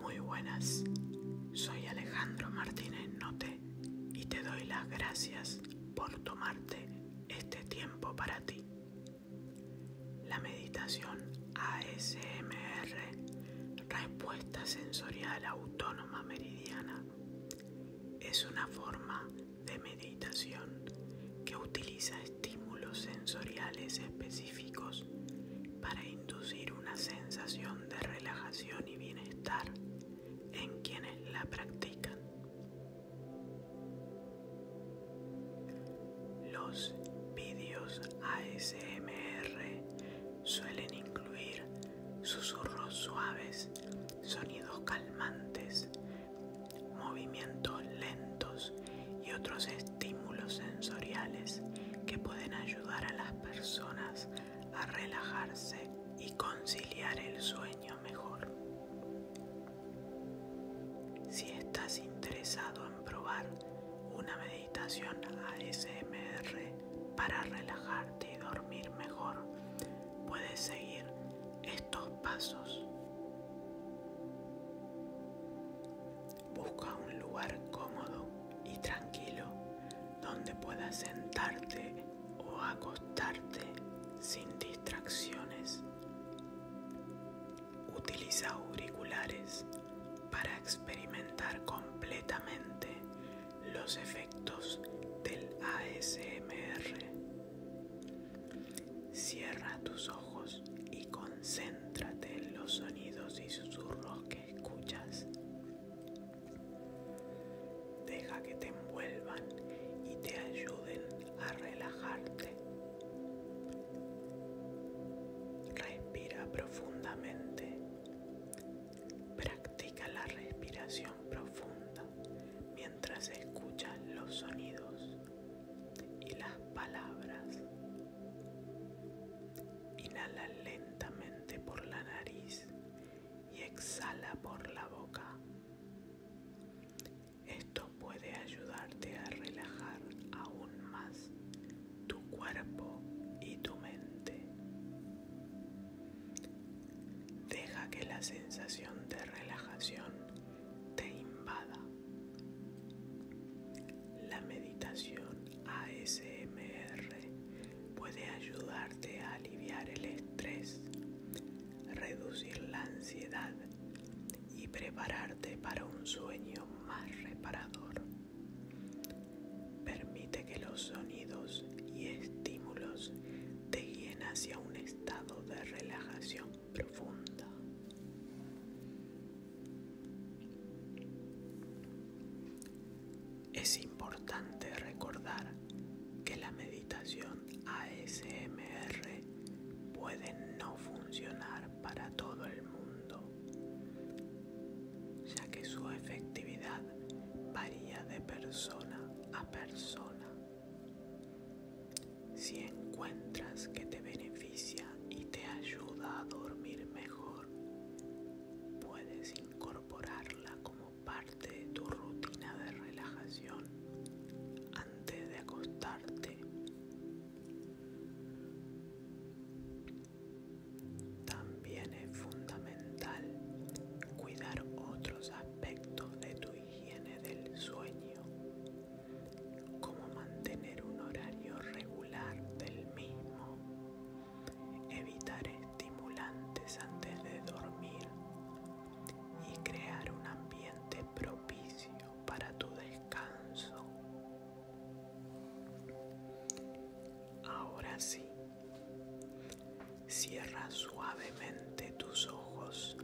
Muy buenas, soy Alejandro Martínez Note y te doy las gracias por tomarte este tiempo para ti. La meditación ASMR, respuesta sensorial autónoma meridiana, es una forma de meditación que utiliza estímulos sensoriales específicos para inducir una sensación de relajación y bienestar en quienes la practican. Los vídeos ASMR suelen incluir susurros suaves, sonidos calmantes, movimientos lentos y otros estímulos sensoriales que pueden ayudar a las personas a relajarse y conciliar el sueño mejor. Si estás interesado en probar una meditación ASMR para relajarte y dormir mejor, puedes seguir estos pasos. Busca un lugar cómodo y tranquilo donde puedas sentarte o acostarte sin distracciones. Utiliza auriculares para experimentar completamente los efectos del ASMR. Cierra tus ojos y concéntrate en los sonidos y susurros que escuchas. Deja que te envuelvan y te ayuden a relajarte. Respira profundamente. Practica la respiración profunda mientras escuchas los sonidos y las palabras. Inhala lentamente por la nariz y exhala por la boca. Esto puede ayudarte a relajar aún más tu cuerpo y tu mente. Deja que la sensación de relajación te invada. La meditación ASMR puede ayudarte a aliviar el estrés, reducir la ansiedad y prepararte para un sueño más reparador. Permite que los sonidos y estímulos te guíen hacia un estado de relajación profunda. Es importante recordar que la meditación ASMR puede no funcionar para todo el mundo, ya que su efectividad varía de persona a persona. Si encuentras que te beneficia y te ayuda a dormir mejor, puedes incorporarla como parte de tu rutina de relajación antes de acostarte. También es fundamental cuidar otros aspectos de tu higiene del sueño, como mantener un horario regular del mismo, evitar estimulantes antes de dormir y crear un ambiente propicio para tu descanso. Ahora sí, Cierra suavemente tus ojos.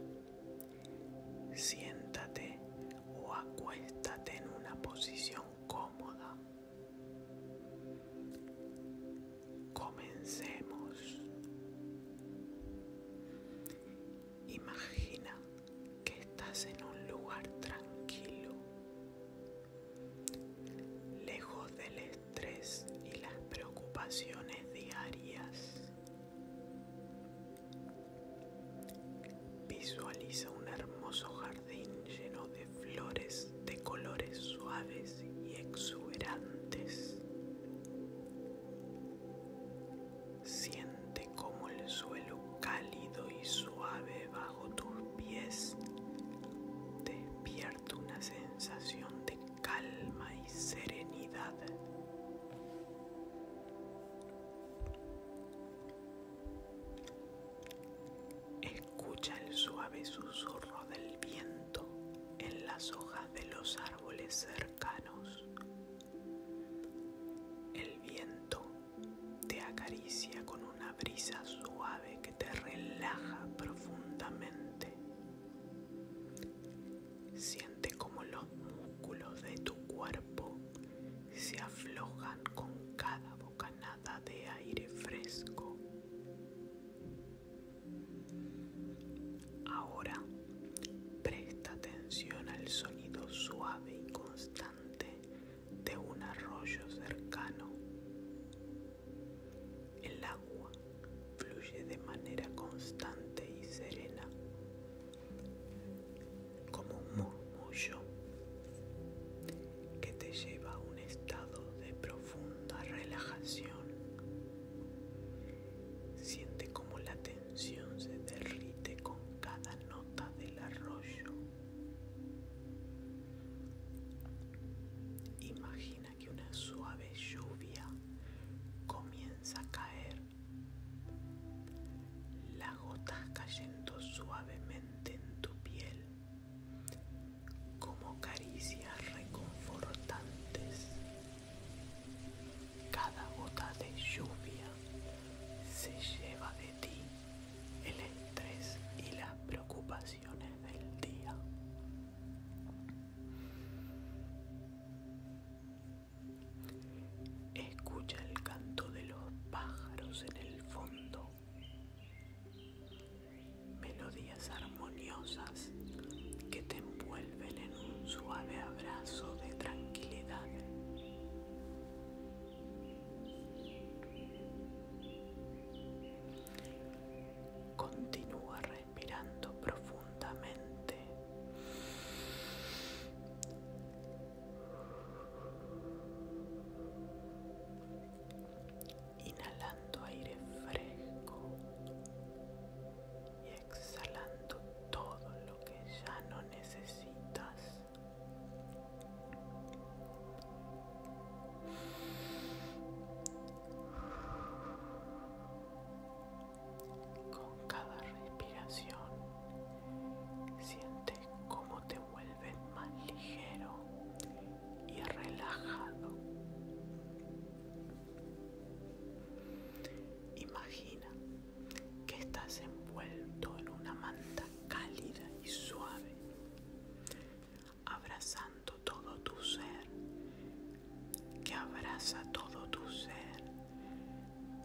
Siéntate o acuéstate en una posición cómoda. Comencemos. Imagina que estás en un lugar tranquilo lejos del estrés y las preocupaciones diarias. Visualiza un hermoso jardín lleno de flores de colores suaves y exuberantes. Siente como el suelo cálido y suave va bajo tus pies despierta una sensación de calma y serenidad. Escucha el suave susurro del viento en las hojas de los árboles cercanos. El viento te acaricia con una brisa suave que te relaja profundamente. Siente como los músculos de tu cuerpo se aflojan con cada bocanada de aire fresco. Ahora presta atención al sonido suave y constante de un arroyo cercano. El agua fluye de manera constante y serena, como un murmullo que te lleva a un estado de profunda relajación. Siente como la tensión se derrite con cada nota del arroyo Imagina que una suave lluvia comienza a caer, las gotas cayendo suavemente en tu piel, como caricias reconfortantes. Cada gota de lluvia se lleva de ti el estrés y las preocupaciones del día. Escucha el canto de los pájaros en el fondo, melodías armoniosas que te envuelven en un suave abrazo de tranquilidad. Continúa respirando profundamente. Inhalando aire fresco exhalando todo lo que ya no necesitas. Con cada respiración sientes cómo te vuelves más ligero y relajado. Imagina que estás envuelto en una manta cálida y suave, abrazando todo tu ser, que abraza todo tu ser,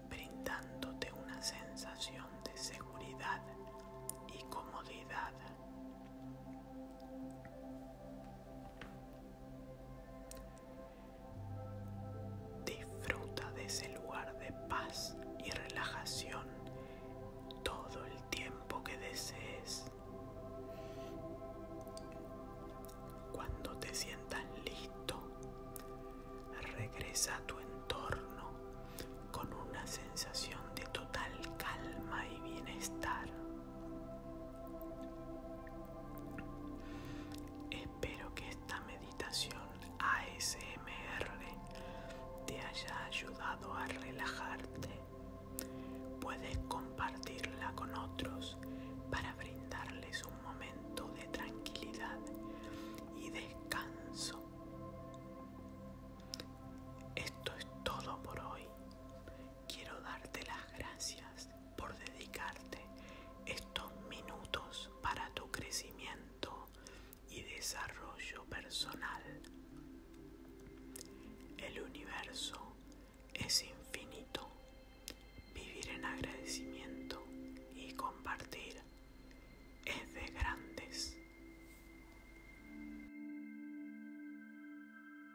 brindándote una sensación de seguridad y comodidad. Disfruta de ese lugar de paz y relajación todo el tiempo que desees. Cuando te sientas listo, regresa a tu entorno con una sensación de total calma y bienestar. Espero que esta meditación ASMR te haya ayudado a relajarte. Puedes compartirla con otros para brindarles un momento de tranquilidad y descanso. Esto es todo por hoy. Quiero darte las gracias por dedicarte estos minutos para tu crecimiento y desarrollo personal. El universo es infinito. Vivir en agradecimiento y compartir es de grandes.